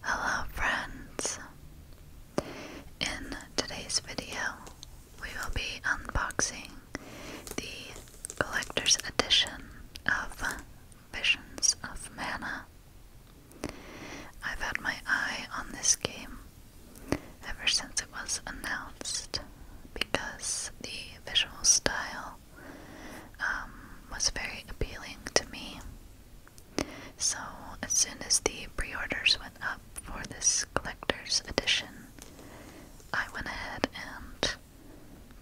Hello friends! In today's video we will be unboxing the collector's edition of Visions of Mana. I've had my eye on this game ever since it was announced because the visual style um, was very appealing to me. So, as soon as the pre orders went up for this collector's edition, I went ahead and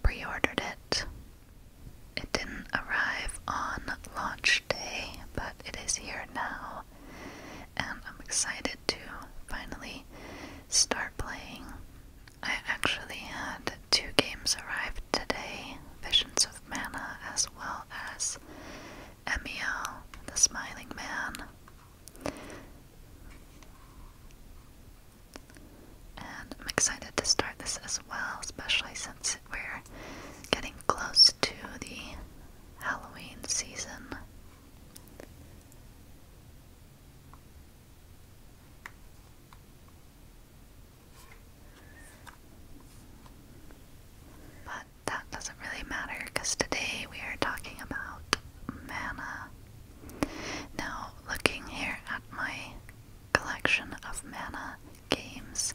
pre ordered it. It didn't arrive on launch day, but it is here now, and I'm excited to finally start playing. I actually had two games arrive today, Visions of Mana, as well as Emiel, the Smiling Man. And I'm excited to start this as well, especially since we're getting close to the Halloween season. But that doesn't really matter because today we are talking about mana. Now, looking here at my collection of mana games,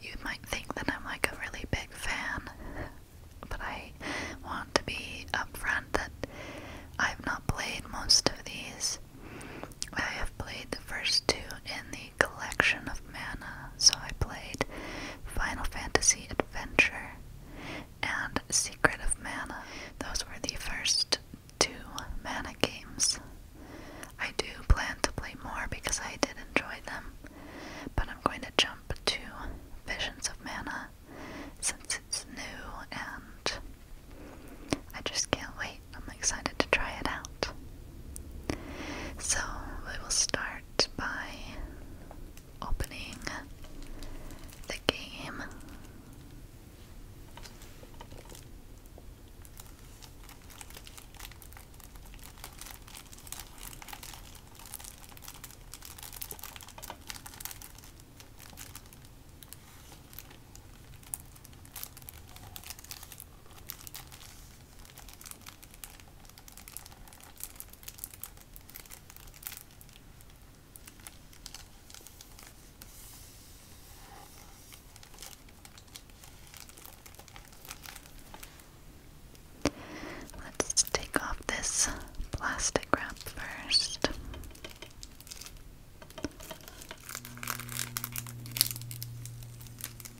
you might think that I'm like a really big fan, but I want to be upfront that I've not played most of these. I have played the first two in the collection of mana, so I played Final Fantasy Adventure and Secret of Mana. Those were the first two mana games. I do plan to play more because I did enjoy them, but I'm going to jump to Visions of Mana since it's new and I just can't wait. I'm excited to try it out. So, we will start by opening the game. Let's take off this plastic wrap first.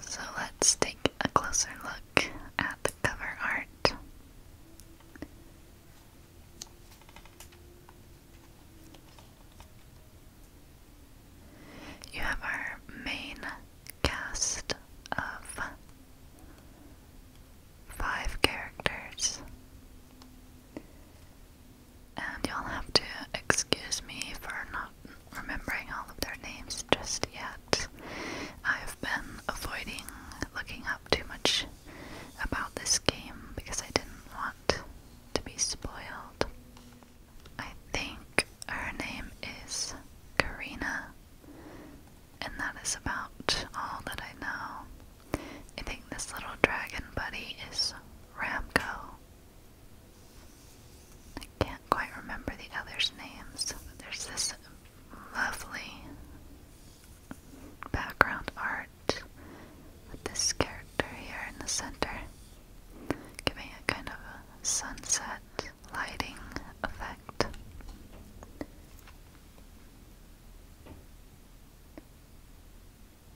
So let's take a closer look at the cover art. You have our main cast of five characters and you'll have to excuse me for not remembering all of their names just yet. I've been avoiding looking up too much about this game because I didn't want to be spoiled. I think her name is Karina, and that is about all that I know. I think this little dragon buddy is Ramco, I can't quite remember the others' names, there's this lovely background art with this character here in the center, giving a kind of a sunset lighting effect.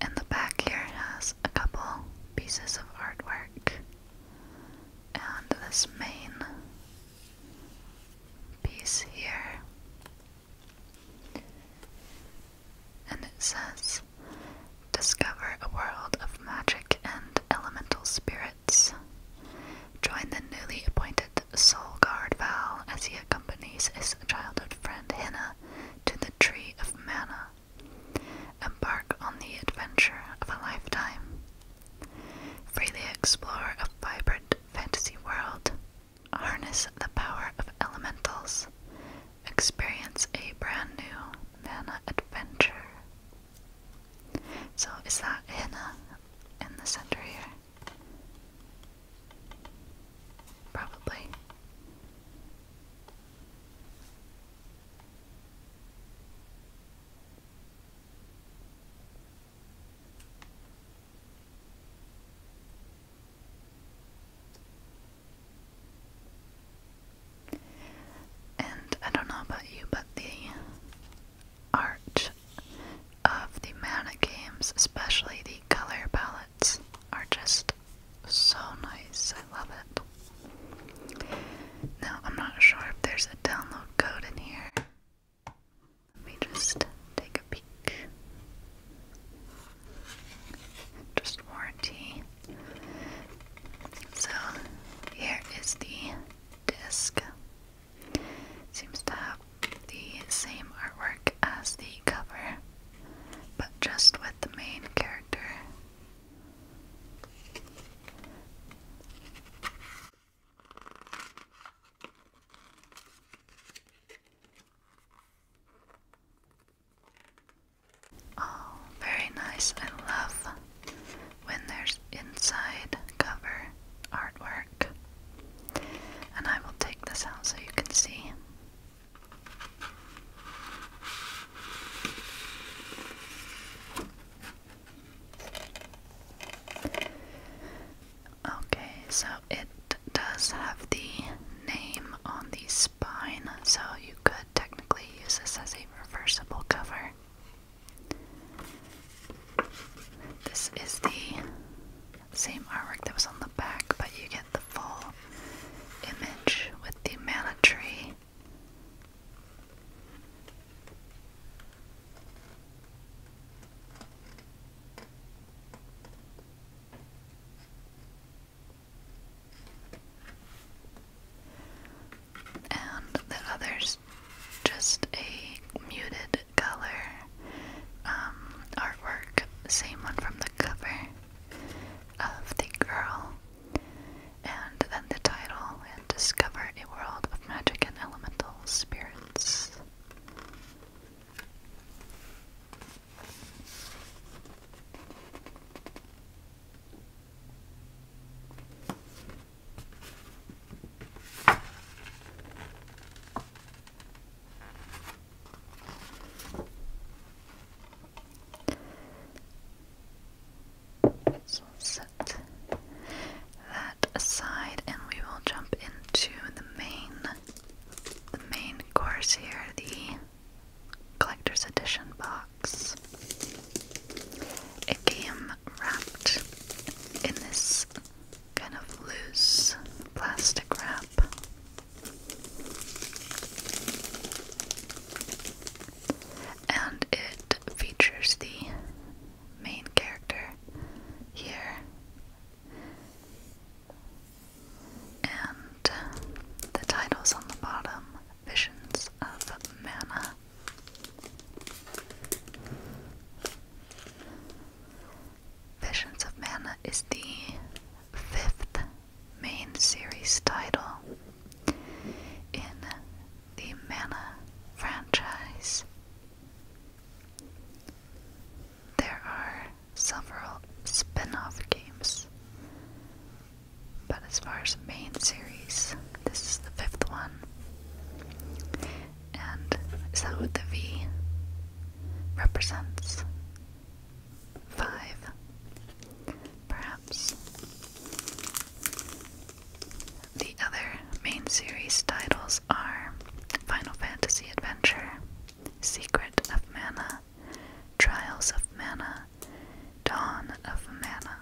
And the back here has a couple pieces of artwork. And this main piece here. And it says Discover a world of magic and elemental spirits. Join the newly appointed patented soul guard vow as he accompanies his childhood friend Hina to the Tree of Mana. Embark on the adventure of a lifetime. Freely explore a vibrant fantasy world. Harness the power of elementals. Experience a brand new mana adventure. So, is that Hina in the center here? Probably. And I don't know about you, but the arch of the Mana games, especially the color palettes, are just so nice. I love it. Now, I'm not sure if there's a download code in here. Let me just take a peek. Just warranty. So, here is the disc. Seems to have the same artwork as the cover, but just with the main character. Oh, very nice. I love when there's inside cover artwork. And I will take this out so you can see. Okay, so it does have the name on the spine, so you could technically use this as a reversible cover. This is the same artwork that was on the back, but you get the full image with the mana tree. And the other's just a muted color. Um, artwork, same one from the cover of The Girl, and then the title, and Discover a World of Magic and Elemental Spirits. So set that aside and we will jump into the main the main course here, the collector's edition box. A game wrapped in this kind of loose plastic wrap. And it features the main character here. And the titles on the bottom Visions of Mana. Visions of Mana is the fifth main series title in the Mana franchise. There are several spin off games, but as far as the main series, this is the fifth one. And is that what the V represents? Five, perhaps. The other main series titles are Final Fantasy Adventure, Secret of Mana, Trials of Mana, Dawn of Mana.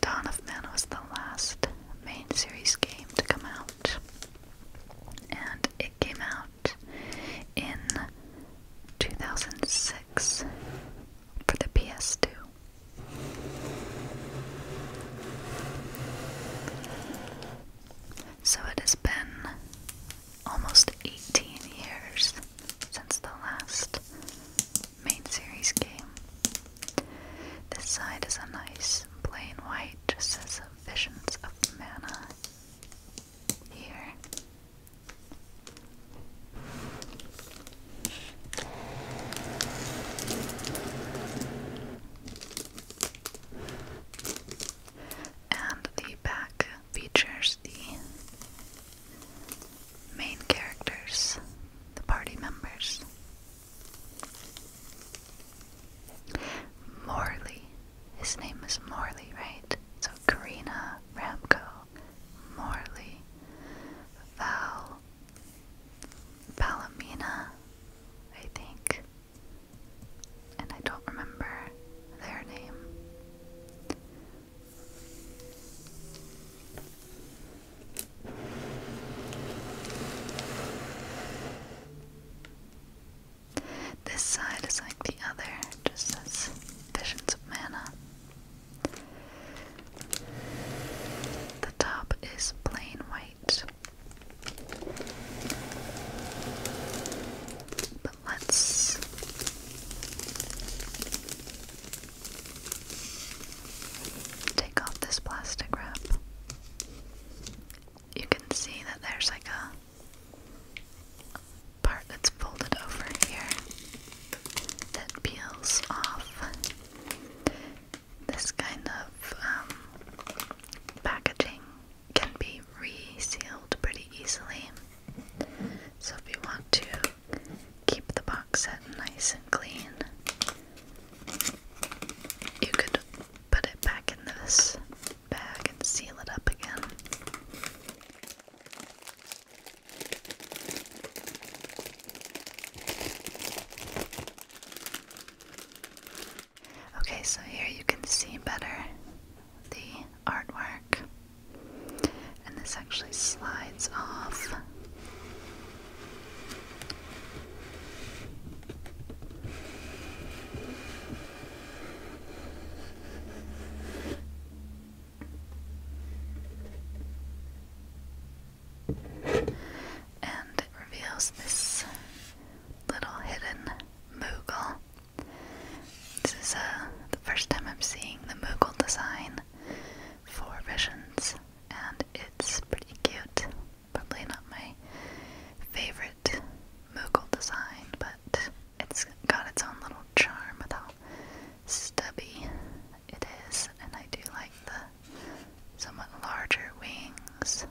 Dawn of Mana was the last main series game to come out, and it came out in 2006 for the PS2. So it has been almost 18 years since the last main series game. This side is a nice plain white, just as says Visions of Mana here. And the back features the main characters, the party members. Morley his name is Morley, right? So Karina Ramco, Morley, Val, Palomina, I think. And I don't remember their name. This side is like the other, just as visions of mana. The top is plain white. But let's take off this plastic wrap. You can see that there's like a part that's folded over here that peels off this kind of um, packaging can be resealed pretty easily. So if you want to keep the box set nice and clean, you could put it back in this bag and seal it up again. Okay, so here you can see better the artwork, and this actually slides off. And it reveals this little hidden Moogle. This is uh, the first time I'm seeing the Moogle design for Visions, and it's pretty cute. Probably not my favorite Moogle design, but it's got its own little charm with how stubby it is, and I do like the somewhat larger wings.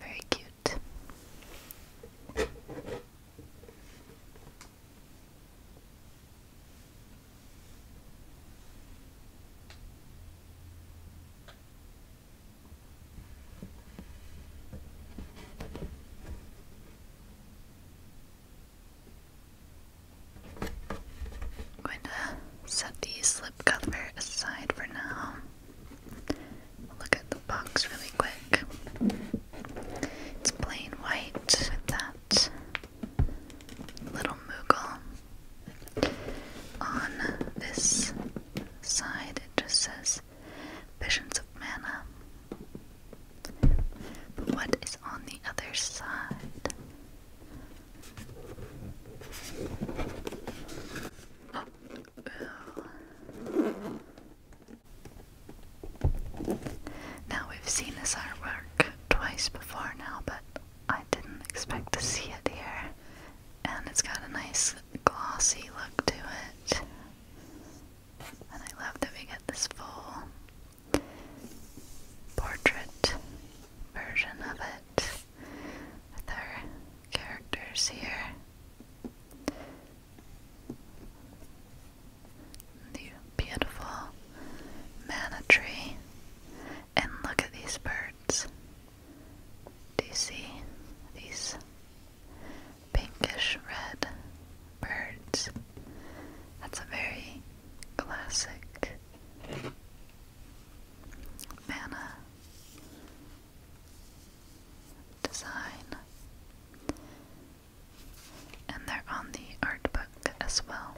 Very cute going to set the slip cover aside for now. look at the box really quick. It's plain white with that little moogle on this side it just says visions of mana. But what is on the other side? Now we've seen this artwork twice before now, but I didn't expect to see it here and it's got a nice glossy look to it. And I love that we get this full portrait version of it with our characters here. The beautiful manna And look at these birds. Do you see these pinkish red birds? That's a very classic manna design. And they're on the art book as well.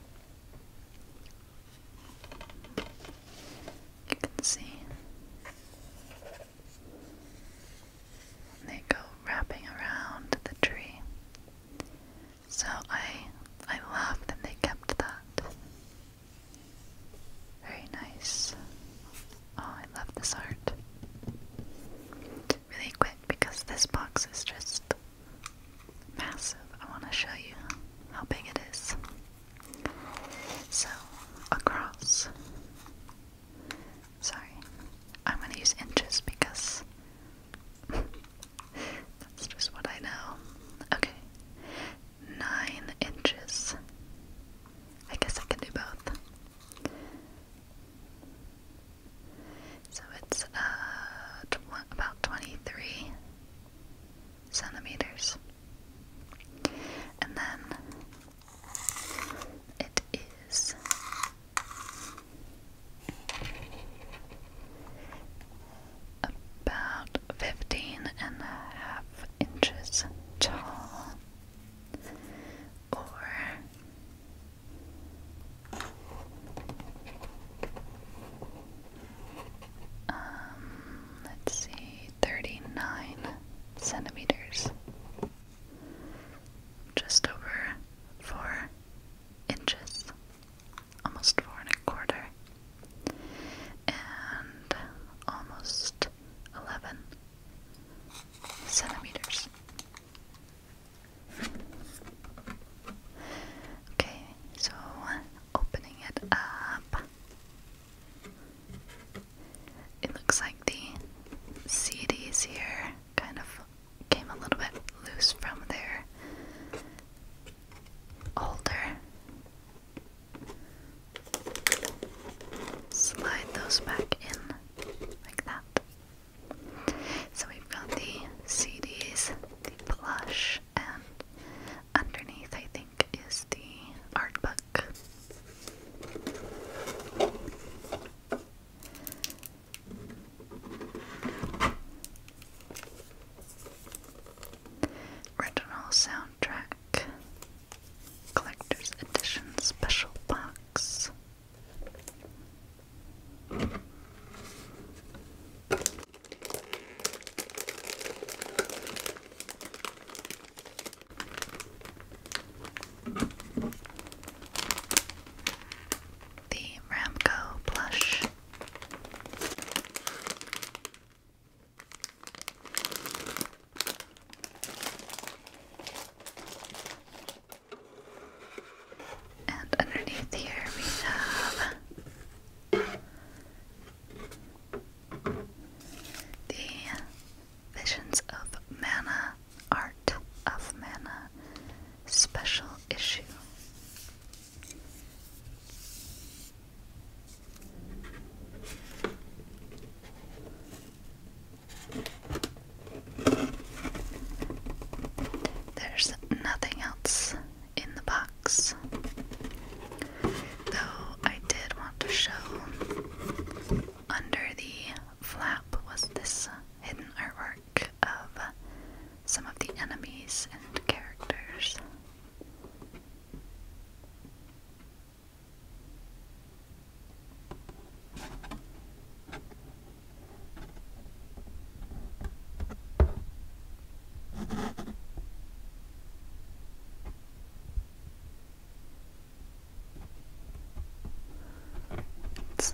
You can see they go wrapping around the tree. So I I love that they kept that. Very nice. Oh, I love this art. Really quick because this box is just massive. I want to show you how big it is. So, across. Sorry, I'm going to use inches because that's just what I know. Okay, nine inches. I guess I can do both. So it's uh, about 23 centimeters. And then it is about 15 and a half inches tall or um, let's see 39 centimeters, just over 4 inches, almost 4 and a quarter, and almost 11 centimeters. Okay, so opening it up. It looks like the CDs here kind of came a little bit loose from their older. Slide those back in like that. So we've got the CDs, the plush, and underneath, I think is the art book. Original soundtrack, collector's edition special box. The Ramco blush. And underneath here we have the Visions of Mana, Art of Mana, Special Issue. There's nothing else in the box, though I did want to show under the flap was this hidden artwork of some of the enemies and characters.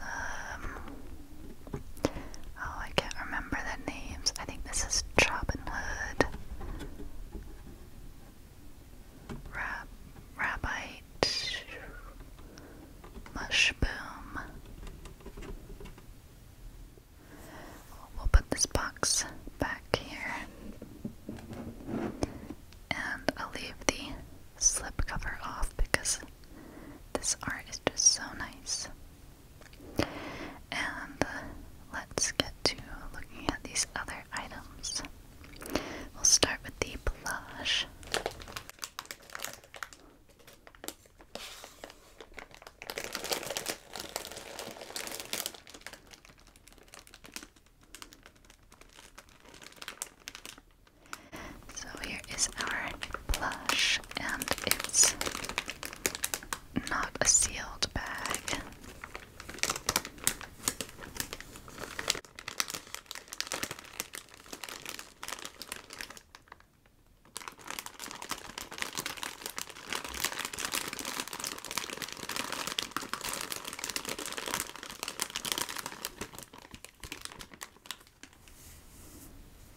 Um, oh, I can't remember the names. I think this is Robin Hood, Rab Rabbite, Mushboom. We'll put this box back here and I'll leave the slip cover off because this art is just so nice. And uh, let's get to looking at these other items. We'll start with the plush. So here is our plush, and it's not a sealed bag.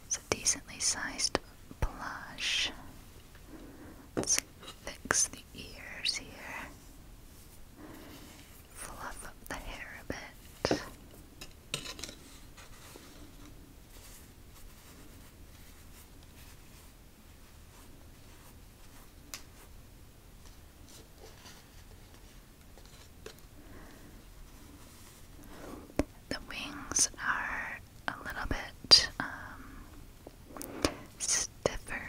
It's a decently sized plush. Let's fix the ears here. Fluff up the hair a bit. The wings are a little bit um, stiffer,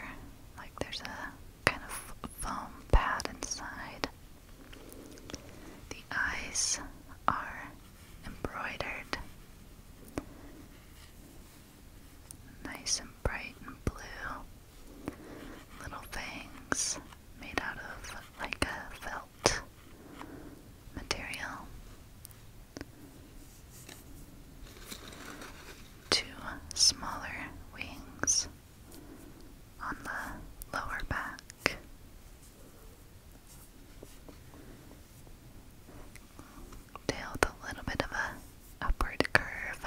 like there's a kind of foam pad inside. The eyes are embroidered. Nice and bright and blue. Little things made out of like a felt material. Two smaller wings on the lower back. Tail with a little bit of a upward curve.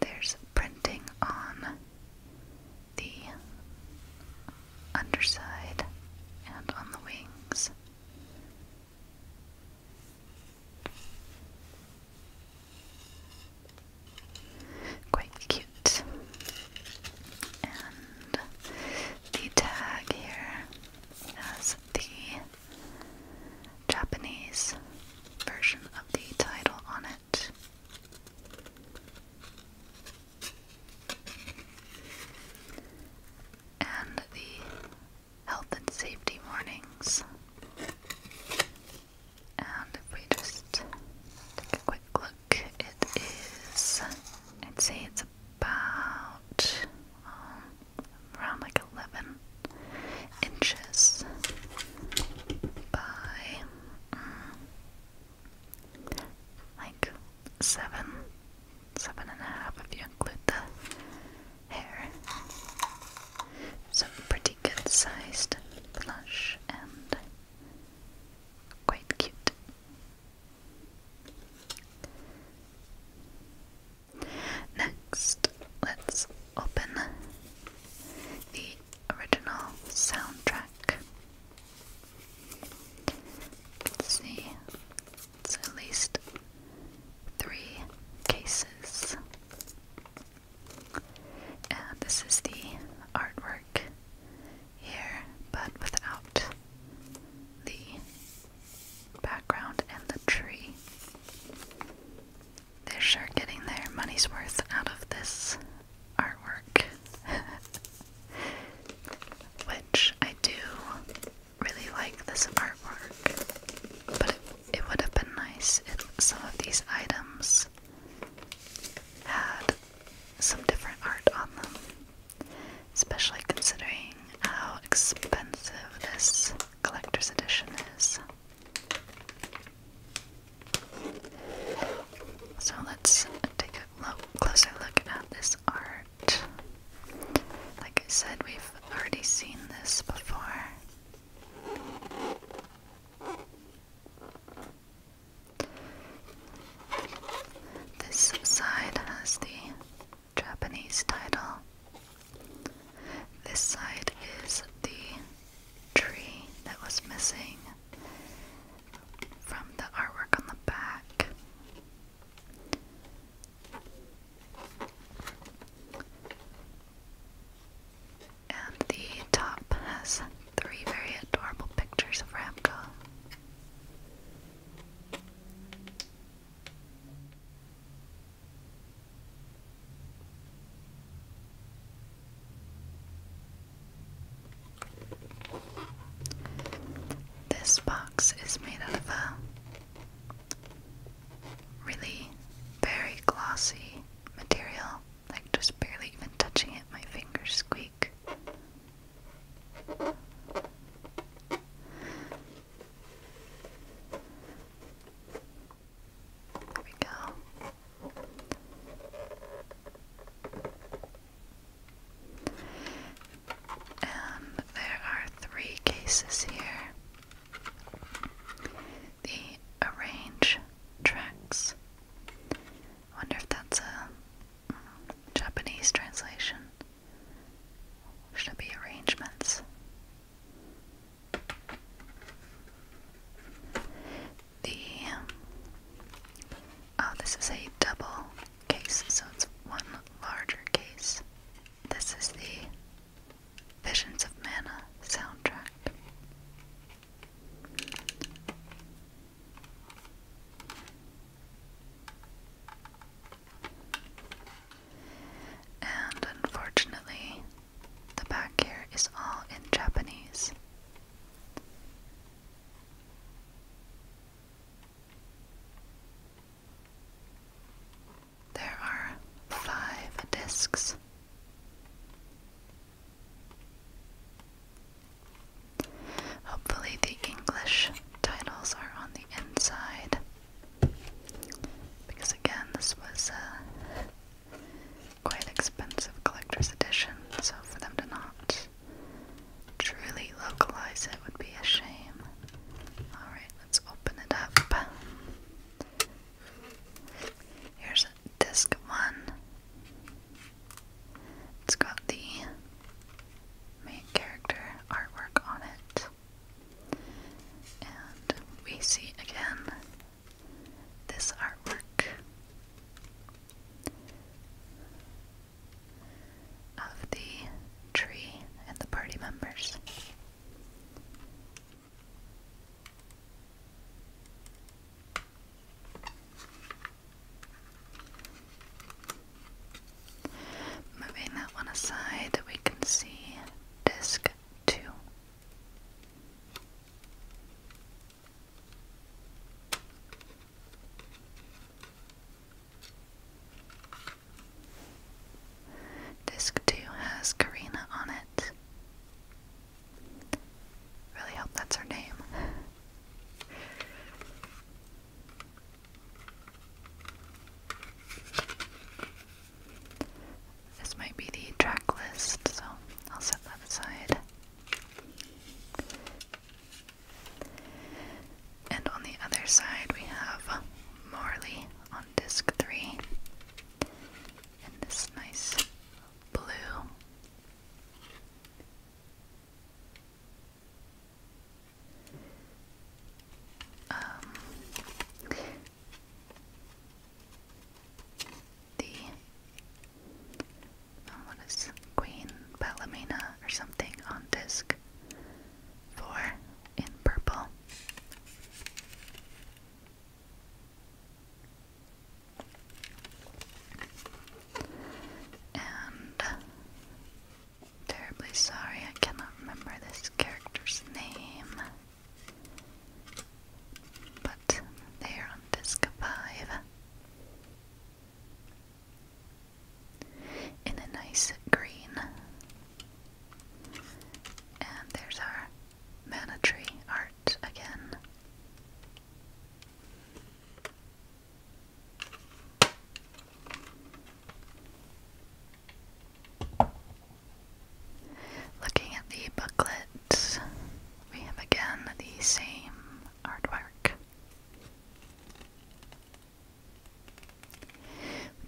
There's printing on the underside and on the wings. Quite cute. And the tag here as the Japanese version of the title on it. And the health and safety warnings. And if we just take a quick look, it is, I'd say it's about um, around like 11 inches by mm, like 7, 7 if you include the hair. So pretty good sized plush and quite cute. Next, let's open the original soundtrack. see, it's at least three cases. And this is the artwork here, but without the background and the tree. They're sure getting their money's worth out of this artwork, which I do really like this artwork, but it, it would have been nice if some of these items had some different art on them especially considering how expensive this collector's edition is. So let's take a look, closer look at this art. Like I said, we've already seen this before. This side has the Japanese title. This side is the tree that was missing from the artwork on the back. And the top has three very adorable pictures of Ramco. This box is made out of a really very glossy material, like just barely even touching it, my fingers squeak. There we go. And there are three cases here. The arrange tracks. I wonder if that's a mm, Japanese translation should be arrangements. The oh, this is a double case, so it's one larger case. This is the Visions of Mana soundtrack. And unfortunately, the back here is all in Japanese. There are five discs. Hopefully, the English titles are on the inside. Because again, this was a quite expensive collector's edition, so for them to not truly localize it would be a shame. Alright, let's open it up. Here's disc one. It's got the main character artwork on it. And we see again this artwork of the tree and the party members. Moving that one aside, we can see disc two. Disc 2 has Karina on it. Really hope that's her name. This might be the track list, so I'll set that aside. And on the other side, we have Morley on disc three, and this nice blue um, the um, what is Queen Palomina or something on disc four in purple. And terribly sorry I cannot remember this character's name. But they are on disc 5. In a nice green. And there's our mana art again. Looking at the booklet, we have again the same artwork.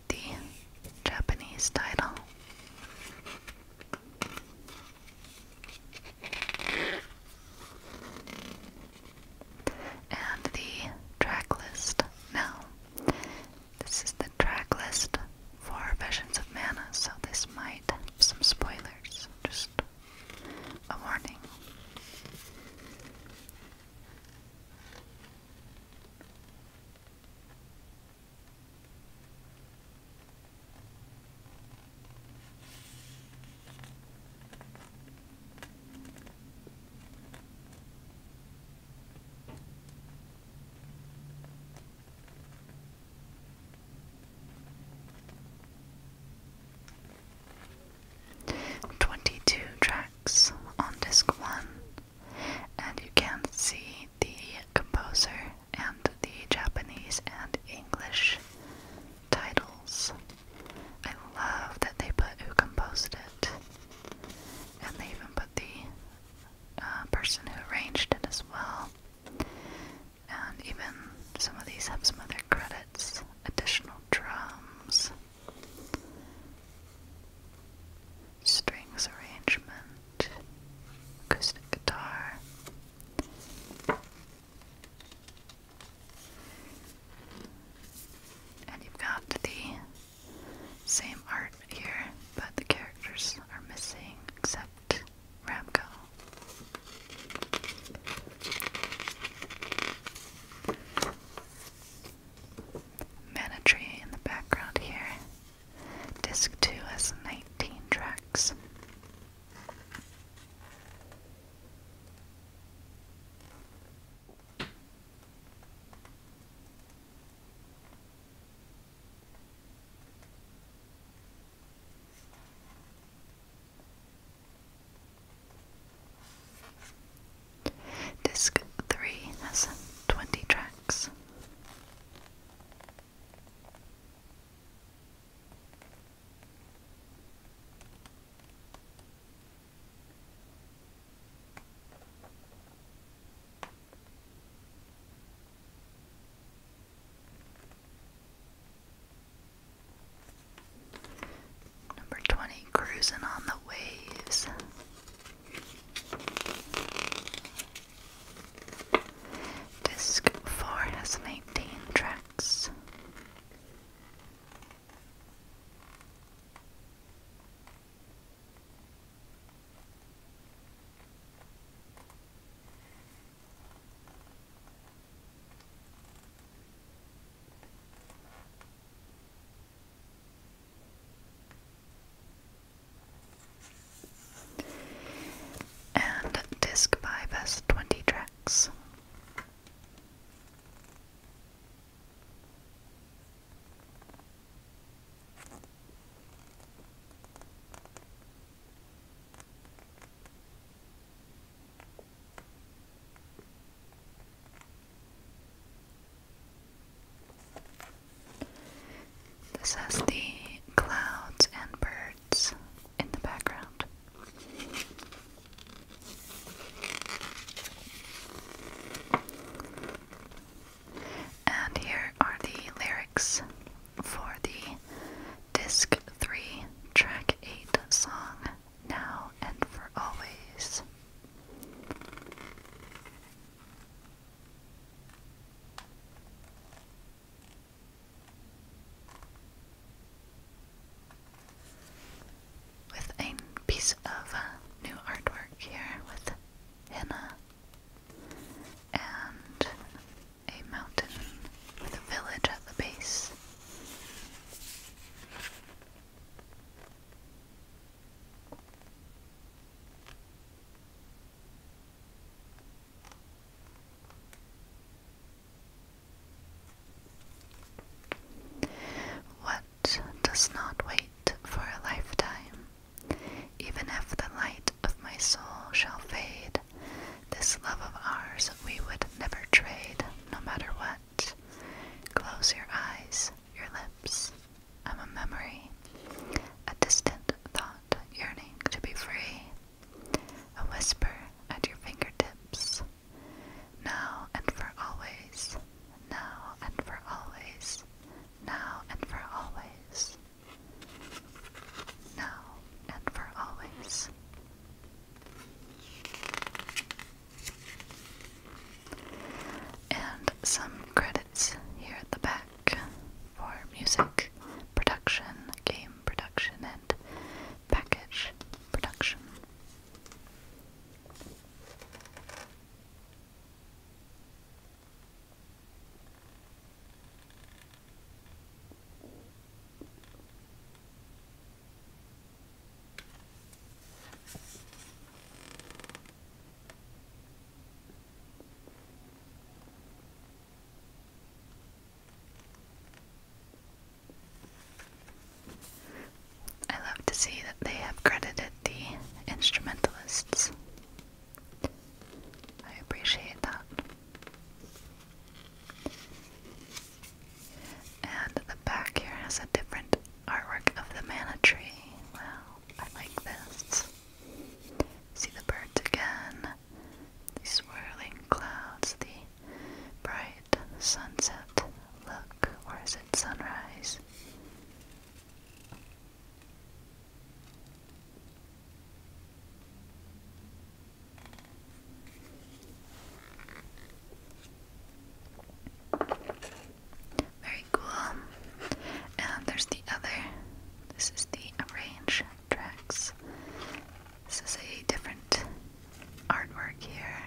The Japanese title. And the track Now, this is the track list for Visions of Mana, so this might have some spoilers. Just a warning. 22 tracks on disc 1, and you can see the composer and the Japanese and English titles. I love that they put who composed it, and they even put the uh, person who arranged it as well. And even some of these have some other credits, additional drums, strings arrangement, acoustic guitar. And you've got the same art here, but the characters are missing except Ramco. Mana in the background here. Disc 2 has 19 tracks. Disc 3 has 20 tracks. Number 20, Cruising on the Waves. Disc 4 has 19 tracks. And disc 5 has 20 tracks. This has the clouds and birds in the background. And here are the lyrics for the Disc 3, Track 8 song, Now and for Always. With a piece of new artwork here with henna and a mountain with a village at the base. What does not wait for a lifetime even if the light of my soul shall fade, this love of ours we would never trade, no matter what. Close your eyes, your lips. I'm a memory, a distant thought yearning to be free, a whisper at your fingertips. Now and for always, now and for always, now and for always, now and for always. And some credits here at the back for music production, game production, and package production. I love to see that they have credited the instrumentalists I appreciate that. And the back here has a different artwork of the manna tree. Wow, I like this. See the birds again, the swirling clouds, the bright sunset look, or is it sunrise? Very cool. And there's the other. This is the Arrange Tracks. This is a different artwork here.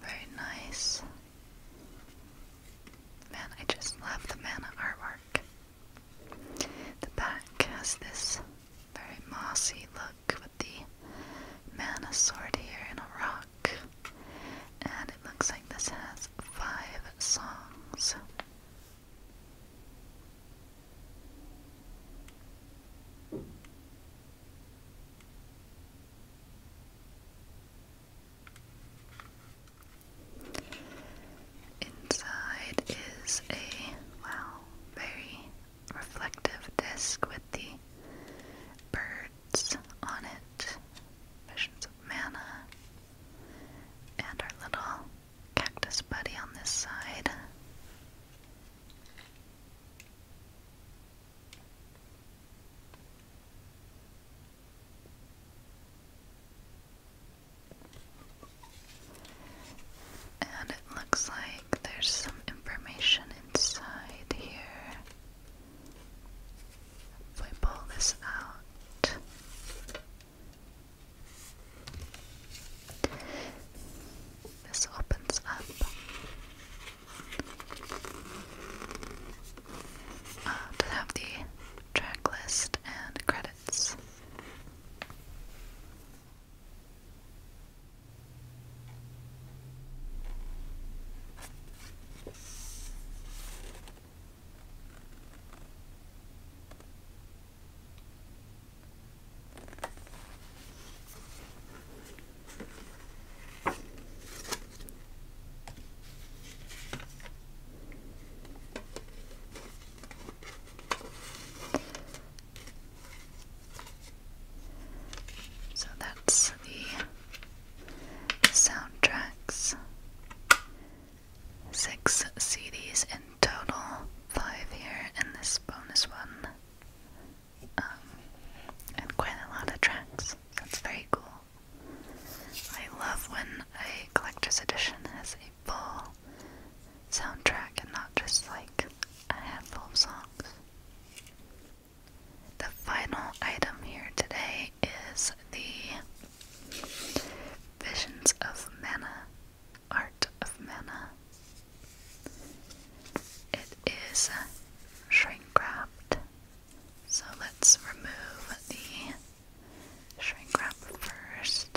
Very nice. Man, I just love the mana artwork. The back has this very mossy look with the mana sword here in a rock. And it looks like this has five songs. Inside is a well, very reflective disc with the birds on it, visions of mana, and our little Cactus Buddy on this side. And it looks like there's some information inside here. If we pull this out, this opens up uh, have the track list and credits. So that's the soundtracks. Six CDs in total five here in this bonus one. Um, and quite a lot of tracks. That's very cool. I love when a collector's edition has a full soundtrack and not just like a handful of songs. The final item here today is the Visions of Mana Art of Mana. It is shrink wrapped, so let's remove the shrink wrap first.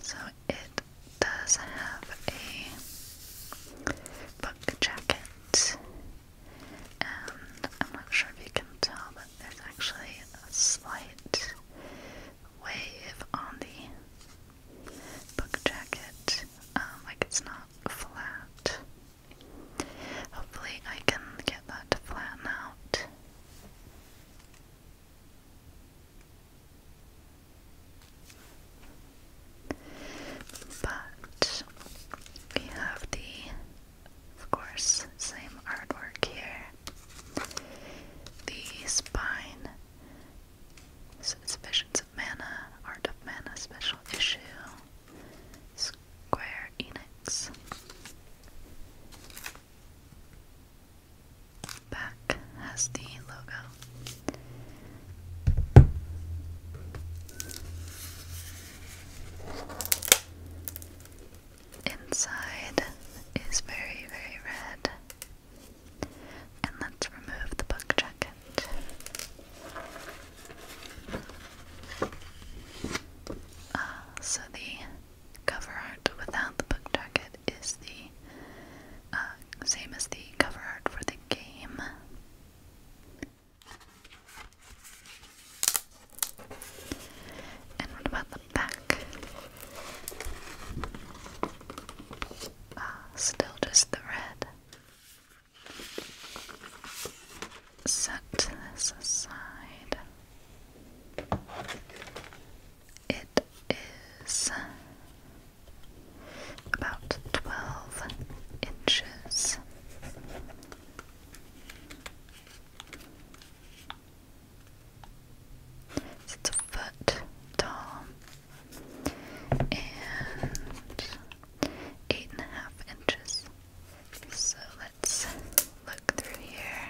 So it does have a buck jacket and I'm not sure if you can tell, but there's actually a slight wave on the book jacket, um, like it's not flat. Hopefully, I can get that to flatten out. But we have the of course, same artwork here. The spine. So Visions of Mana, Art of Mana Special Issue. Square Enix. Back has the logo. Inside is very, very red. And let's remove the book jacket. Ah, so the cover art without the book jacket is the ah, same as the cover art for the game. And what about the back? Ah, still just the red. Set this aside. It is about 12 inches it's a foot tall and eight and a half inches. So let's look through here.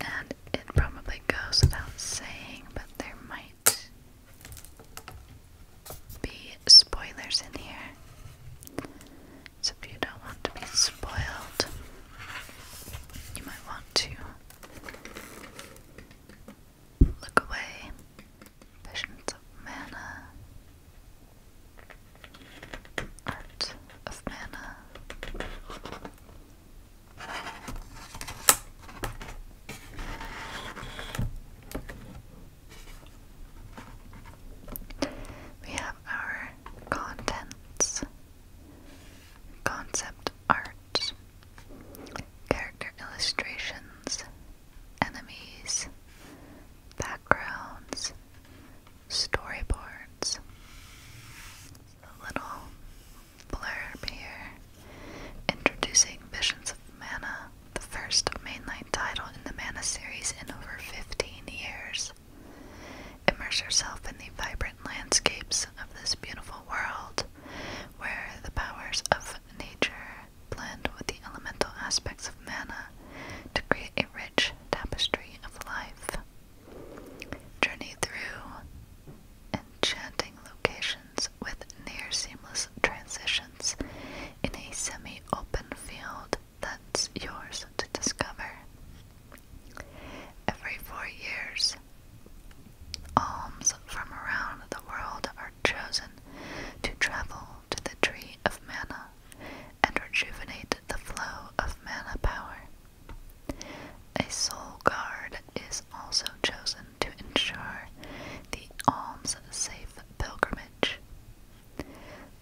And it probably goes without saying, but there might be spoilers in here. So if you don't want to be spoiled. You might want to look away. Visions of mana. Art of mana. We have our contents, concept art, character illustrations, enemies, backgrounds, storyboards. A little blurb here. Introducing Visions of Mana, the first mainline title in the Mana series in over 15 years. Immerse yourself in the vibrant landscapes of this beautiful world, where the powers of nature blend with the elemental aspects of mana to create a rich tapestry of life. Journey through enchanting locations with near seamless transitions in a semi open field that's yours to discover. Every four years, alms from around the world are chosen to travel to the tree of mana and rejuvenate the flow of mana power. A soul guard is also chosen to ensure the alms safe pilgrimage.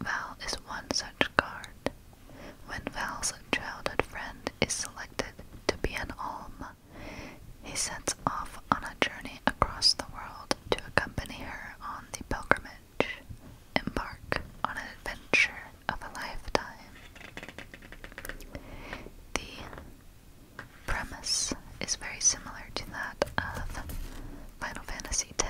Val is one such card. When Val's childhood friend is selected to be an alm, he sets off on a journey across the world to accompany her on the pilgrimage, embark on an adventure of a lifetime. The premise is very similar to that of Final Fantasy X.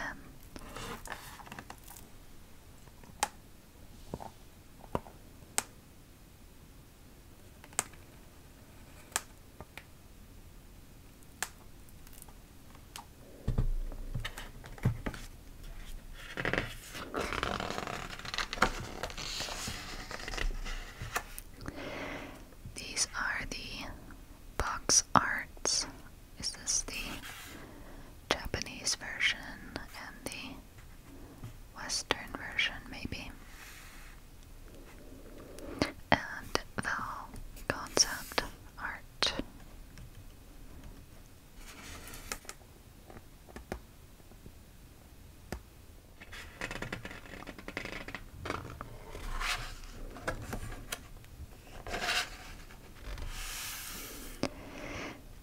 These are the box arts is this the Japanese version and the Western version, maybe? And the concept art.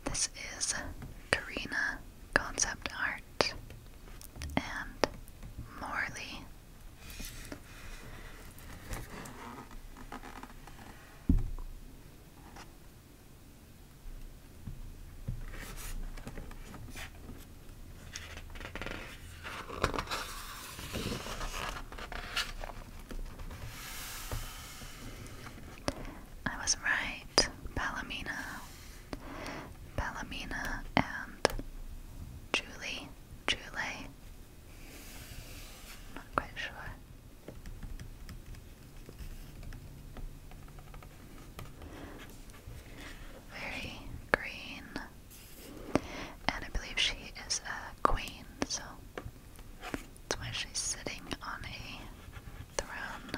This is Karina Concept Art and Morley. I was right. Palomina. Palomina and Julie. Julie. Not quite sure. Very green. And I believe she is a queen, so that's why she's sitting on a throne.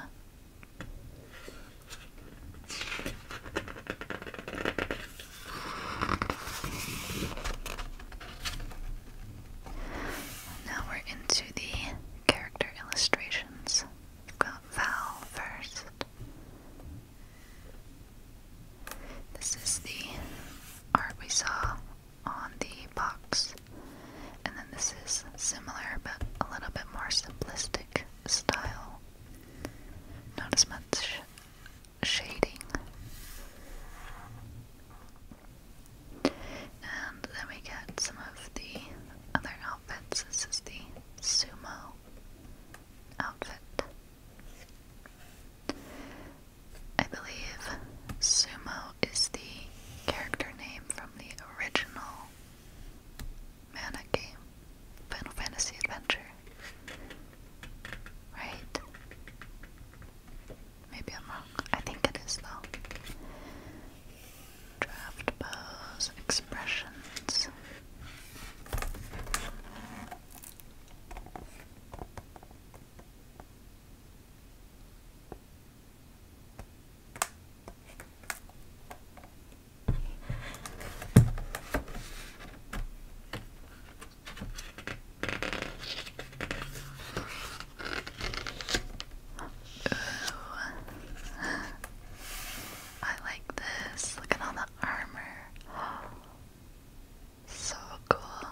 Now we're into the character illustrations. We've got Val first. This is the art we saw on the box. And then this is similar but a little bit more simplistic style. Not as much shading. And then we get some of the other outfits. This is the sumo outfit. I believe Sumo is the character name from the original mana game, Final Fantasy Adventure. Right? Maybe I'm wrong. I think it is though. Draft pose, expressions. I like this. Look at all the armor. So cool.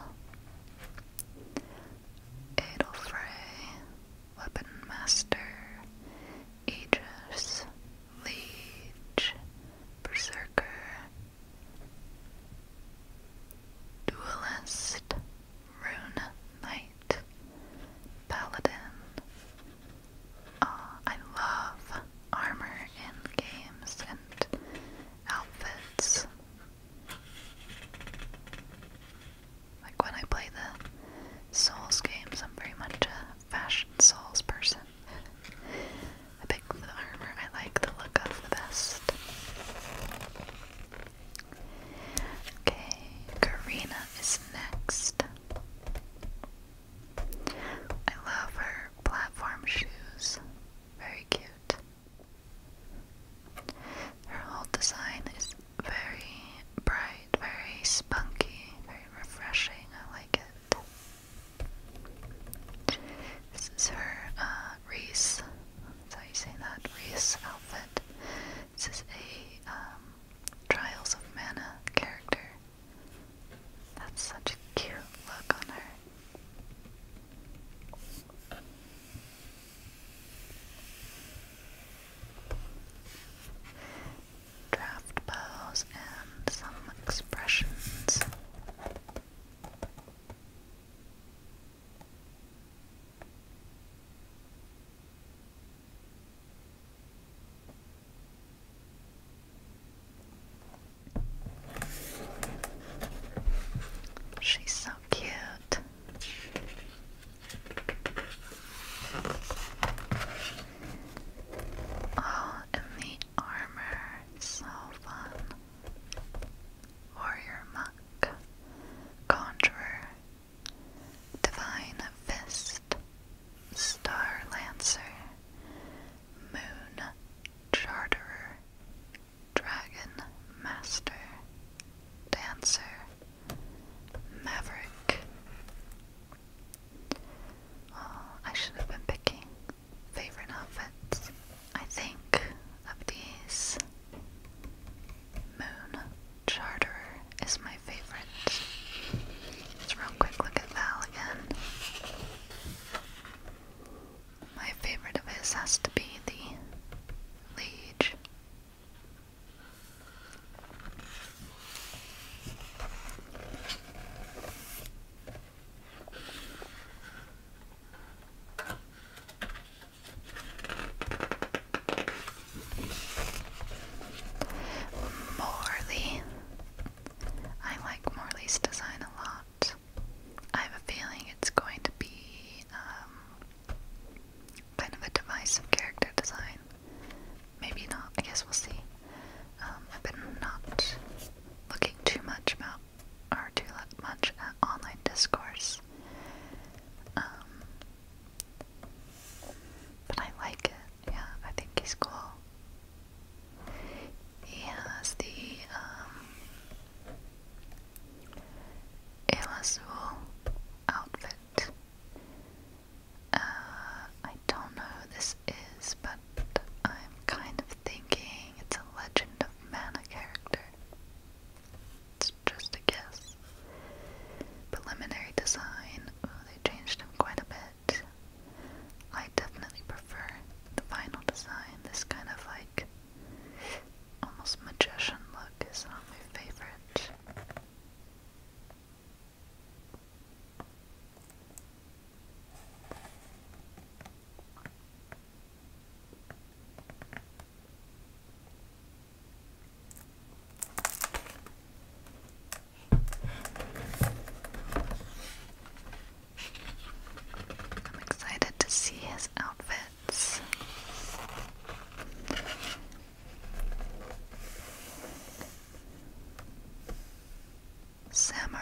Edelfrey, Weapon Master, Aegis, Liege, Berserker, Duelist, Rune Knight, Paladin. Uh, I love armor in games and outfits. Like when I play the Souls games, I'm very much a fashion Souls person. I pick the armor I like the look of the best. Okay, Karina is next. I love her platform shoes. Very cute. Her whole design is very bright, very spunky, very refreshing. I like it. This is her uh, Reese. how you say that Reese outfit. This is a um, Trials of Mana character. That's such a cute look on her draft bows and some expressions. She's so cute. Oh, and the armor, so fun. Warrior Muck, Conjurer, Divine Fist, Star Lancer, Moon Charterer, Dragon Master, Dancer, Maverick. Oh, I should have been picking favorite outfits. I think of these, Moon Charter is my favorite. Let's real quick look at Val again. My favorite of his has to be the Liege Morley. I like Morley's design a lot. I have a feeling it's going to be um, kind of a device of character design. Maybe not, I guess we'll see. Um, I've been not looking too much about, or too much at online discourse. Um, but I like it, yeah, I think he's cool. He has the, um, El Azul outfit. Uh, I don't know who this is, but I'm kind of thinking it's a Legend of Mana character. It's just a guess. Preliminary design. Ooh, they changed him quite a bit. I definitely prefer the final design. This kind of like almost magician look is not my favorite. I'm excited to see his outfit. Samurai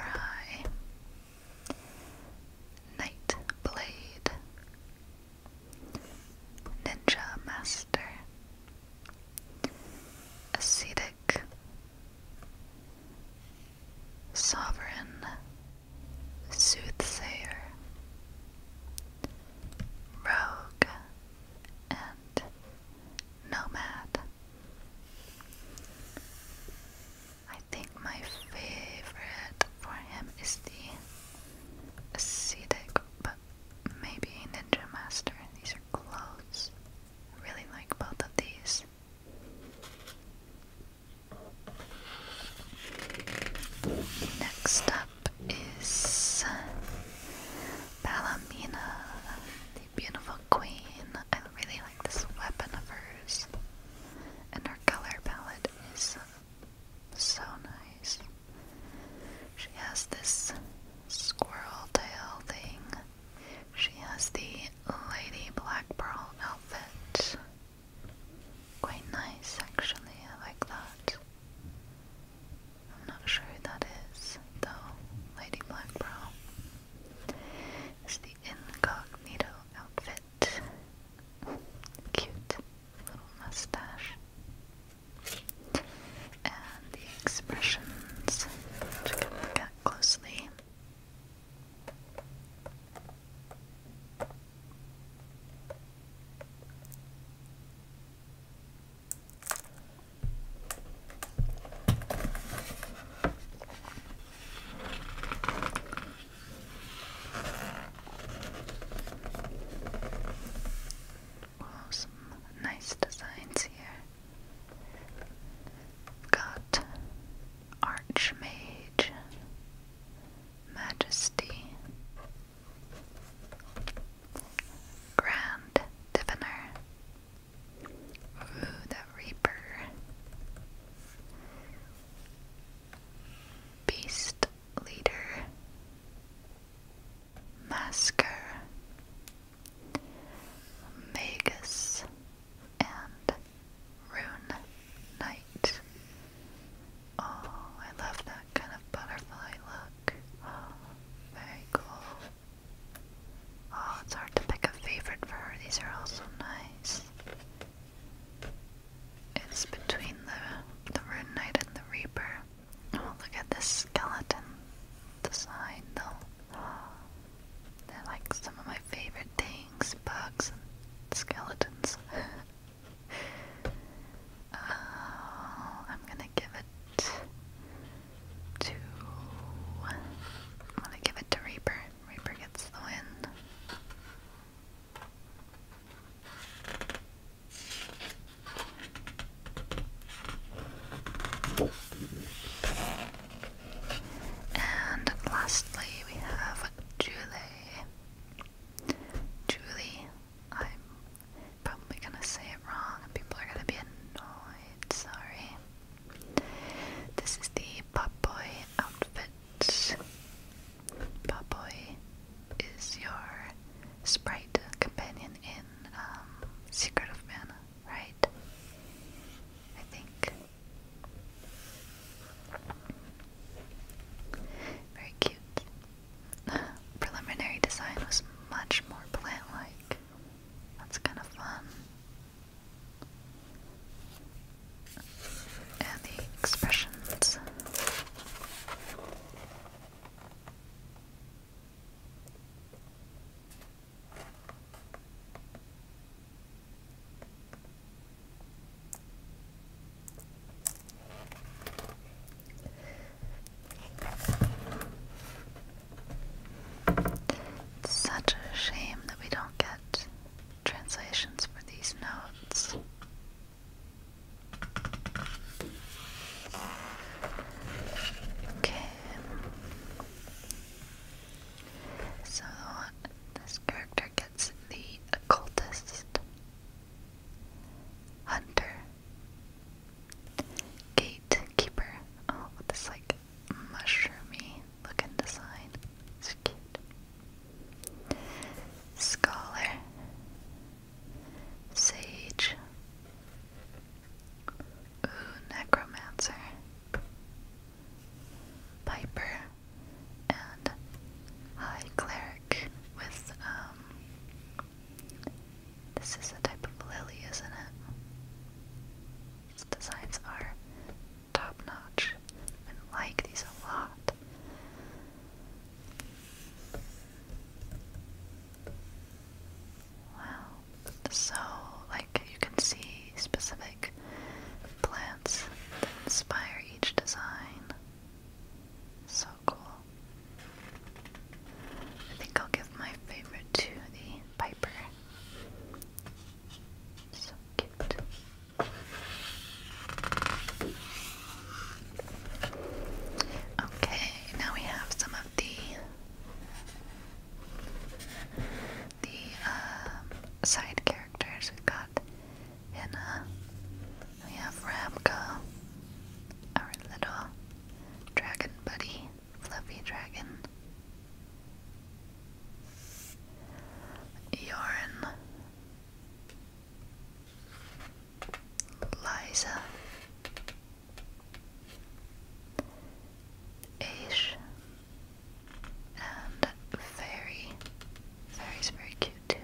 Knight Blade Ninja Master Ascetic Sovereign Soothsayer rogue, and nomad. I think my favorite for him is the ascetic, but maybe ninja master. These are close. I really like both of these. Next up, is Balamina, the beautiful queen. I really like this weapon of hers, and her color palette is so nice. She has this squirrel tail thing. She has the Lady Black Pearl outfit. Quite nice, actually. I like that. I'm not sure who that is, though. Lady Blackbrow is the incognito outfit. Cute little mustache. And the expressions, which look at closely some nice designs here. got Archmage, Majesty, Grand Diviner. the Reaper. Beast Leader. Masker. Magus. And Rune Knight. Oh, I love that kind of butterfly look. very cool. Oh, it's hard to pick a favorite for her. These are all so nice. It's between the the Rune Knight and the Reaper. Oh, look at this skeleton design, though. They're like some of my favorite things, bugs and skeletons. Oh, I'm gonna give it to. I'm gonna give it to Reaper. Reaper gets the win. And lastly, we have Julie. Julie, I'm probably gonna say it wrong people are gonna be annoyed, sorry. This is the Pop Boy outfit. Pop Boy is your sprite companion in um, Secret of Mana, right? I think. Very cute. Preliminary design was much more plant-like. That's kind of fun. And the expressions. It's such a shame that we don't get translations for these notes. Okay. So this character gets the occultist hunter Gatekeeper. Oh, with this like mushroomy looking design. It's cute. Scholar. Sage. Ooh, necromancer. Piper and High Cleric with um this is a type of lily, isn't it? Its designs are top notch. and I like these a lot. Wow. So, like, you can see specific plants that inspire each design. So so cool. I think I'll give my favorite to the Piper. So cute. Okay, now we have some of the the uh, side characters. We've got Hannah. We have Ramka, our little Dragon Buddy, Fluffy Dragon. Yorin Liza Aish and Fairy. Fairy's very cute too.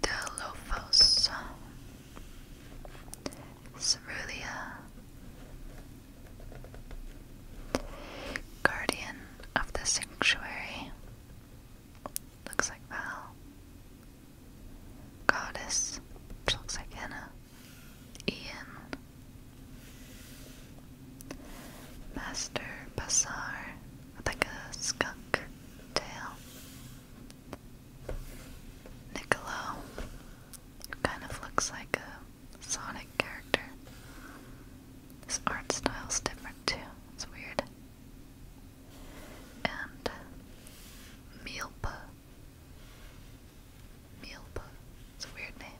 Delophos, Cerulia, Guardian of the Sanctuary, looks like Val, Goddess, which looks like Anna, Ian, Master Bazaar with like a skunk tail. Niccolo, who kind of looks like a Sonic character. His art style's different too, it's weird. And Mealpa. Mealpa, it's a weird name.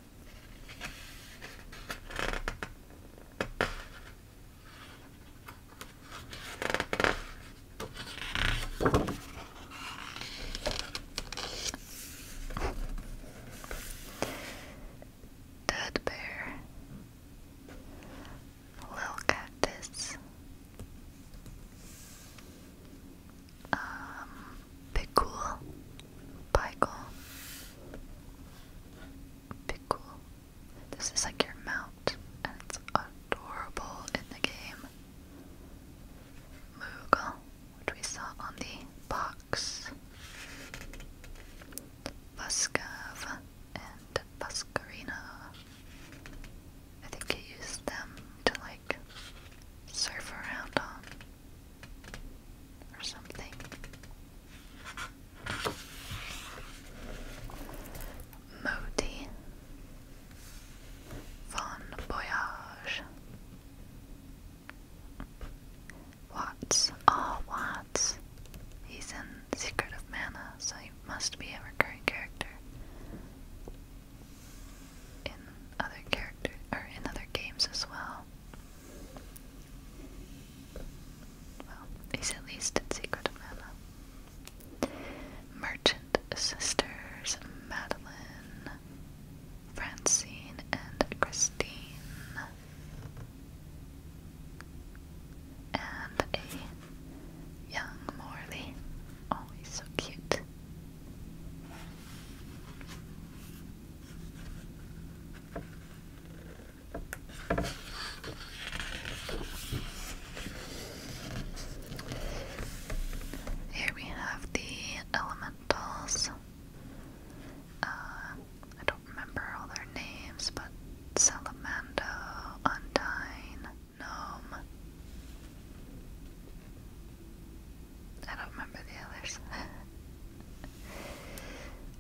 Dead bear, little cactus, um, big cool, pickle, Pickle. This is like your mount, and it's adorable in the game. Moogle, which we saw on the box. Buscav and Buscarina. I think you use them to like surf around on or something. Modi Von Voyage Watts. Oh, Watts. He's in Secret of Mana, so he must be a recurring character in other character or in other games as well. Well, he's at least in Secret of Mana. Merchant sisters Madeline, Francine, and Christine. And a young Morley. Oh, he's so cute. Here we have the elementals. Uh, I don't remember all their names, but Salamando, Undyne, Gnome. I don't remember the others.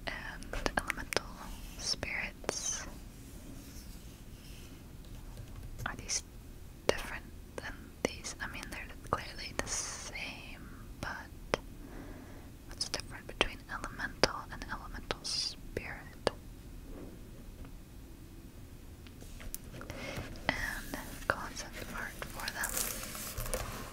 and elemental spirits. Are these different than these? I mean, they're clearly the same, but what's different between elemental and elemental spirit? And concept art for them.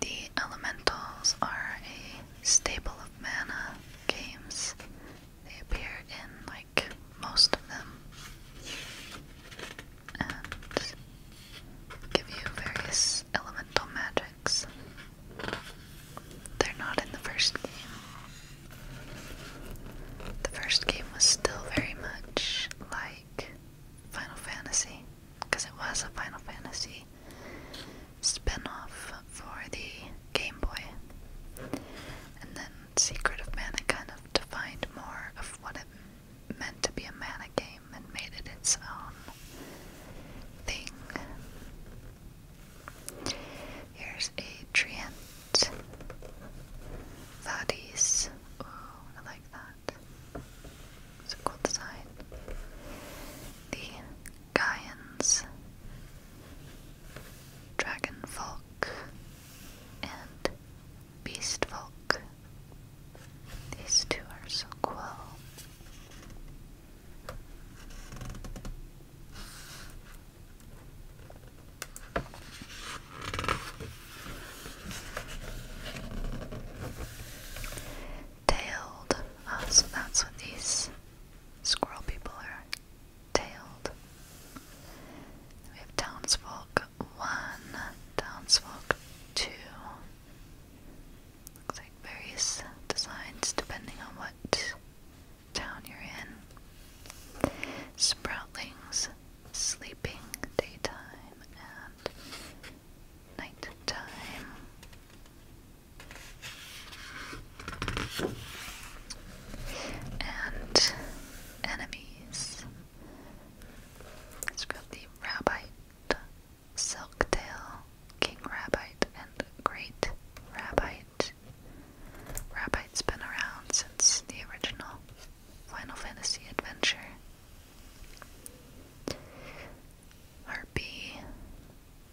The elementals are a staple of mana games. They appear in like most of them and give you various elemental magics. They're not in the first game. The first game was still very much like Final Fantasy because it was a Final Fantasy spin-off for the Game Boy. And then Secret of Mana kind of defined more of what it meant to be a mana game and made it its own thing. Here's a Treant Ooh, I like that. It's cool design. The Gaians, Dragonfolk, and Beastfolk. These two are so cool tailed. Oh, so that's what these squirrel people are tailed. We have townsfolk one, townsfolk two. Looks like various designs depending on what town you're in. Sproutlings, sleeping, daytime, and nighttime and enemies. It's got the Rabbite, Silktail, King Rabbite, and Great Rabbite. Rabbite's been around since the original Final Fantasy adventure. Harpy,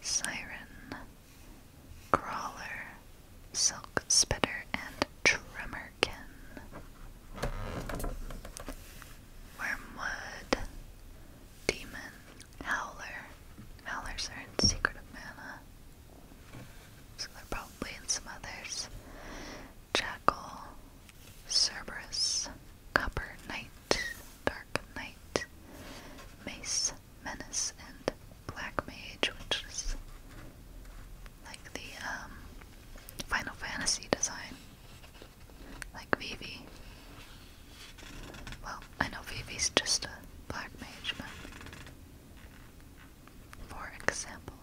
Siren, Crawler, Silk Spitter, and Tremorkin. Wormwood, Demon, Howler. Howlers are in Secret of Mana. So they're probably in some others. Jackal, Cerberus, Copper Knight, Dark Knight, Mace, Menace, and Black Mage, which is like the um, Final Fantasy design. Like Vivi. Well, I know Vivi's just a black mage, but for example.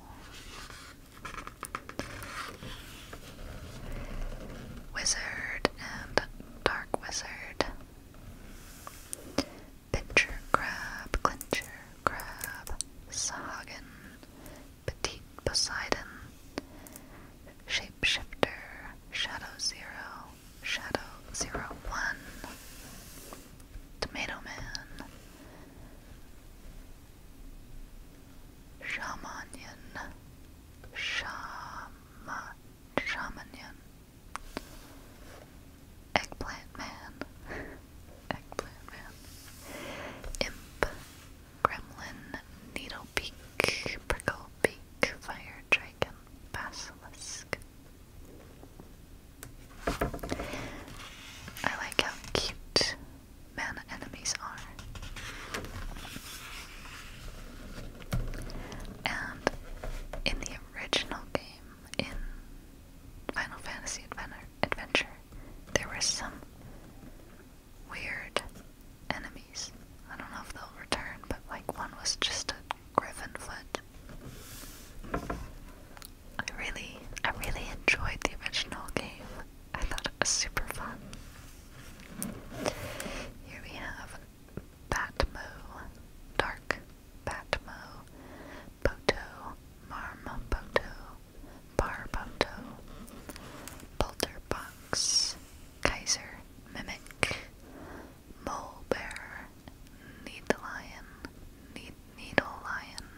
Wizard and Dark Wizard Pitcher crab, clincher crab, sahagin, petite Poseidon, shapeshifter, shadow zero, shadow zero one, tomato man, shamanian, shama, shamanian. Eggplant Man, Eggplant Man, Imp, Gremlin, Needle Peak, Fire Dragon, Basilisk. I like how cute man enemies are. And in the original game, in Final Fantasy Adventure, there were some weird enemies. I don't know if they'll return, but like one was just a griffin foot. I really, I really enjoyed the original game. I thought it was super fun. Here we have Batmo, Dark Batmo, Boto, Marmoboto, Barboto, Balderbox, Kaiser Mimic, Mole Bear, Need Lion, Need Needle Lion.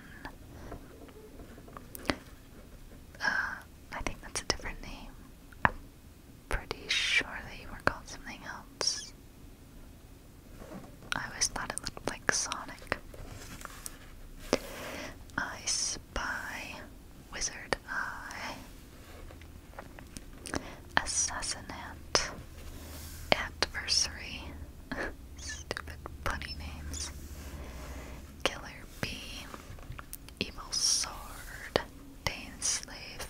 Uh, I think that's a different name pretty sure they were called something else. I always thought it looked like Sonic. I spy, wizard eye, assassinate, adversary, stupid punny names, killer bee, evil sword, Dane slave,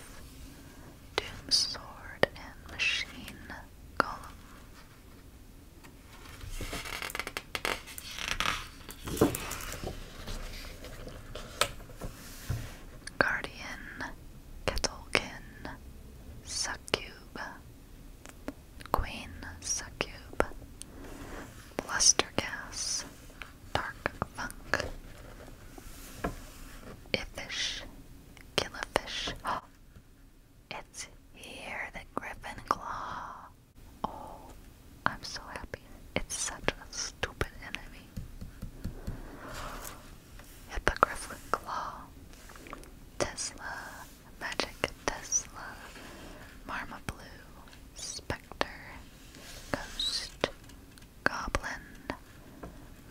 Doom Sword and Machine Golem. Guardian, Kettlekin, Succube, Queen Succube, Blustergas, Dark Funk, Ifish. Kill a fish. it's here, the griffin claw. Oh, I'm so happy. It's such a stupid enemy. Hippogriffin claw. Tesla. Magic Tesla. Marma Spectre. Ghost. Goblin,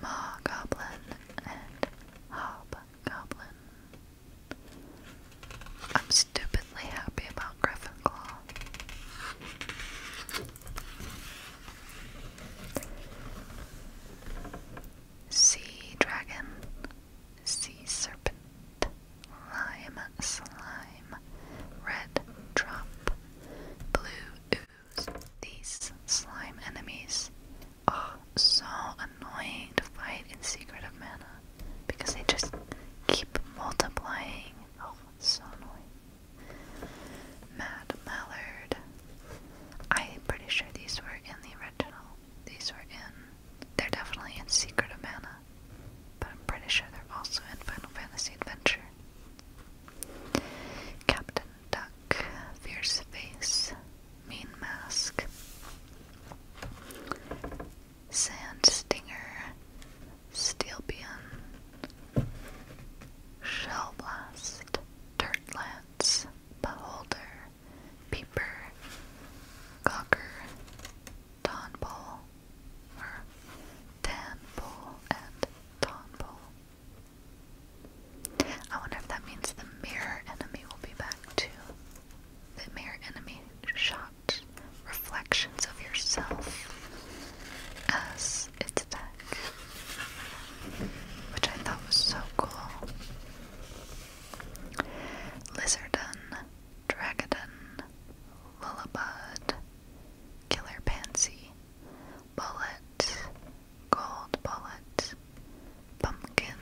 Ma Goblin, and Hobgoblin. I'm stupidly happy about Gryffindor. Sea Dragon, Sea Serpent, Lime Slime, Red Drop, Blue these slime enemies are so annoying to fight in Secret of Mana because they just keep multiplying. Oh, so annoying. Mad Mallard. I'm pretty sure these were in the original. These were in. They're definitely in Secret of Mana, but I'm pretty sure they're also in Final Fantasy Adventure. Captain Duck, Fierce Face, Mean Mask, Sand Stinger, Steelbean, Shell Blast, Dirt Lance, Beholder, Peeper, Cocker, Tonball, or Tanpole and Tonball. I wonder if that means the mirror enemy will be back too. The mirror enemy shot reflections of yourself as its attack, which I thought was so cool. Lizardon, Dragodon, Lullabud, Killer Pansy, Bullet, gold bullet, pumpkin,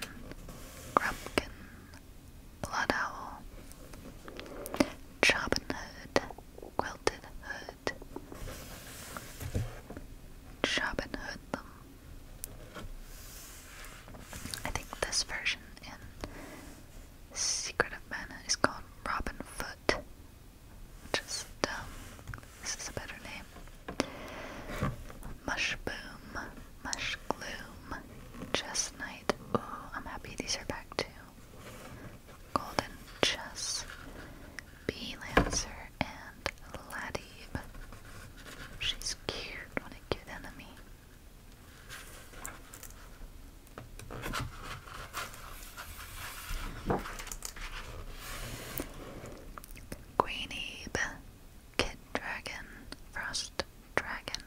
grumpkin, blood owl, choppin' quilted hood, choppin' hoodlum. I think this version in Secret of Mana is called Robin Foot just um this is a better name. Mush boom, mush gloom, chestnut. Ooh, I'm happy these are back too. Golden chess, bee lancer, and Ladib. She's cute. What a cute enemy. Greenebe, Kid Dragon, Frost Dragon,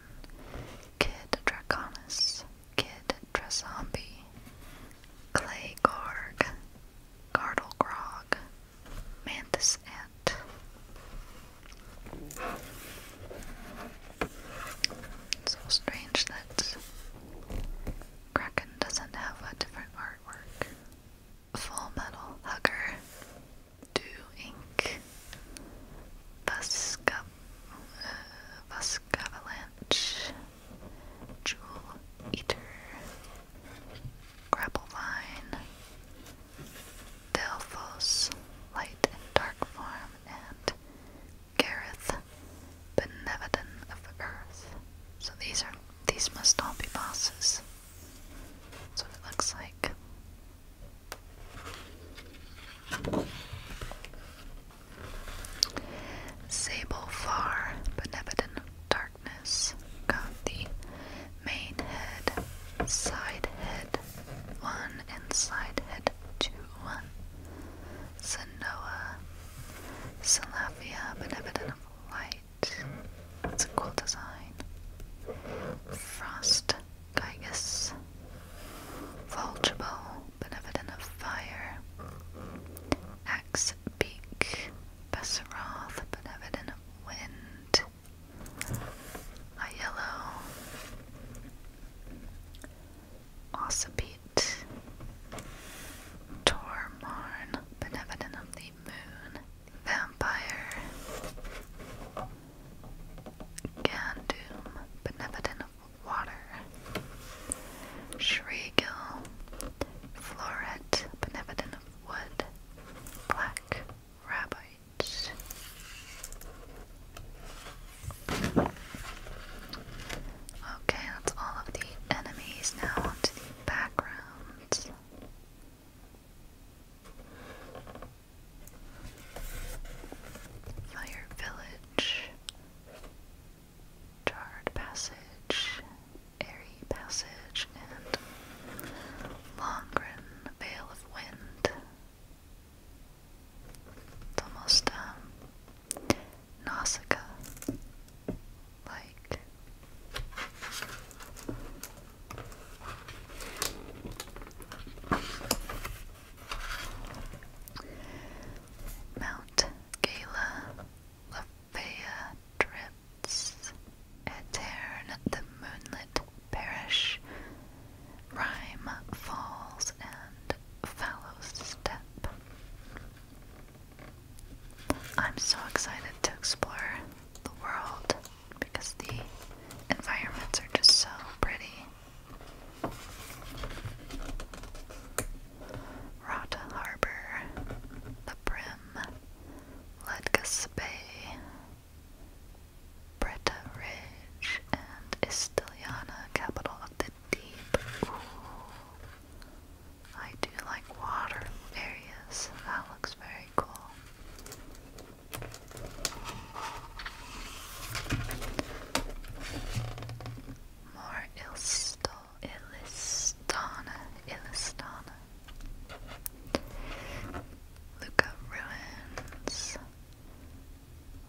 Kid Draconis, Kid Drazombie, Clay Gorg, Gardle Grog, Mantis Ant. So strange that Kraken doesn't have a different artwork. Full Metal Hugger, Do Ink, Busk uh, Avalanche, Jewel Eater, Grapple Grapplevine, Delphos, Light and Dark Form, and Gareth, Benevolent of the Earth. So these are these must all be bosses. That's what it looks like. Sable Far, Benevolent Darkness, got the main head, side head 1, and head 2, 1. Sanoa, Salafia, Benevolent Light. That's a cool design. Frost Gygus. Vulturable, Benevolent of Fire. Axe Beak. Benevolent of Wind. yellow. Ossipete. Tormarn, Benevolent of the Moon Vampire Gandoom Benevolent Water Shriegill Floret Benevolent Wood Black Rabbit Okay, that's all of the enemies. Now onto the background. Fire Village, Jarred Passage, Airy Passage, and Longren, Vale of Wind. It's almost um, like Mount Gala Lafayette drifts etern the moonlit parish rhyme falls and fallow step I'm so excited to explore the world because the environments are just so pretty. Rata Harbor, the Brim, Ledgus Bay, Bretta Ridge, and Istiliana, capital of the deep. I do like water areas. That looks very cool. More Ilsto, Ilistana, Ilistana. Luca Ruins,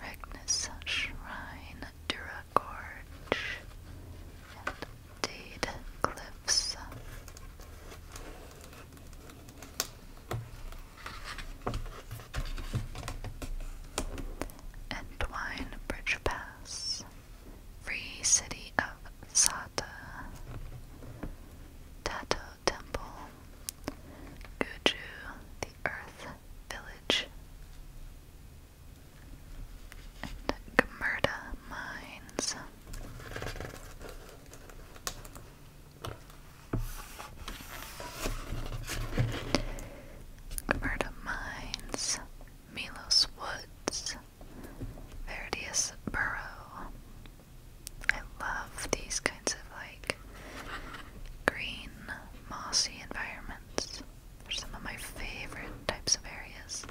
Regnus Shrine, Dade Cliffs. Entwine Bridge Pass. Free City of Sata. Tato Temple. Guju, the Earth Village. And Gamurda Mines. Alberta Mines, Milos Woods, Verdius Burrow. I love these kinds of like green, mossy environments. They're some of my favorite types of areas.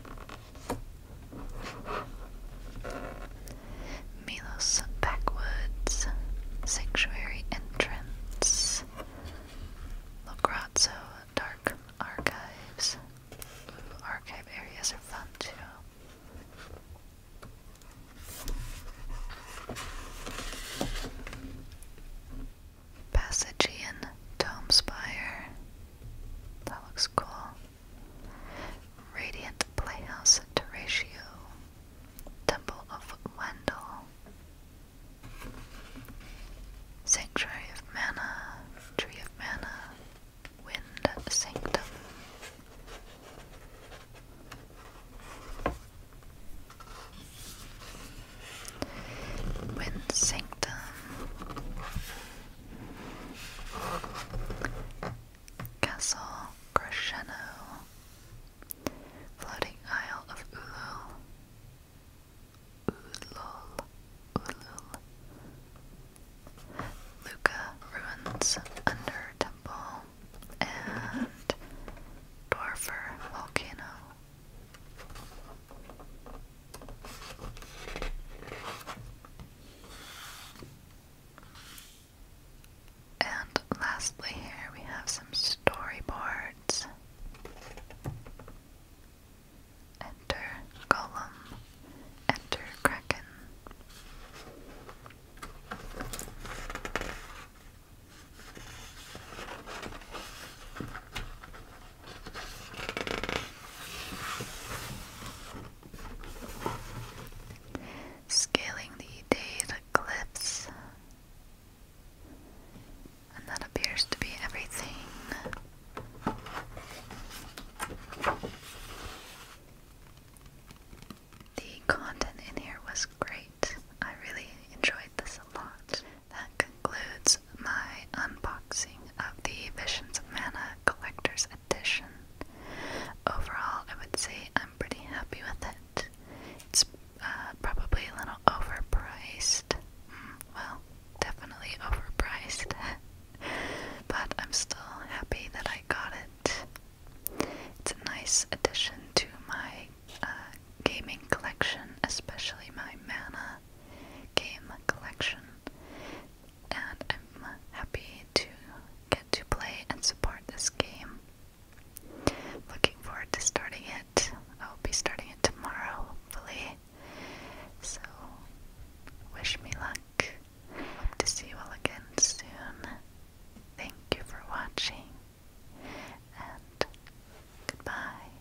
Milos Backwoods Sanctuary Entrance Lograzzo Dark Archives archive areas are fun too Passagean Dome Spire. That looks cool. Radiant Playhouse Terratio, Temple of Wendell, Sanctuary of Mana, Tree of Mana, Wind Sanctum. Wind Sanctum Castle Crescendo, Floating Isle of Ulul, Ulul, Ulul, Luca Ruins Under Temple, and Dwarfer Volcano. And lastly, here we have some storyboards. Enter Golem, enter Kraken. Scaling the Dade Cliffs. And that appears to be everything. The content in here was great. I really enjoyed this a lot. That concludes my unboxing of the Visions of Mana Collector's Overall, I would say I'm pretty happy with it. It's uh, probably a little overpriced. Hmm, well, definitely overpriced. but I'm still happy that I got it. It's a nice addition to my uh, gaming collection, especially my mana game collection and I'm uh, happy to get to play and support this game. Looking forward to starting it. I'll be starting it tomorrow, hopefully. So, wish me luck. Hope to see you all again soon. Thank you for watching, and goodbye.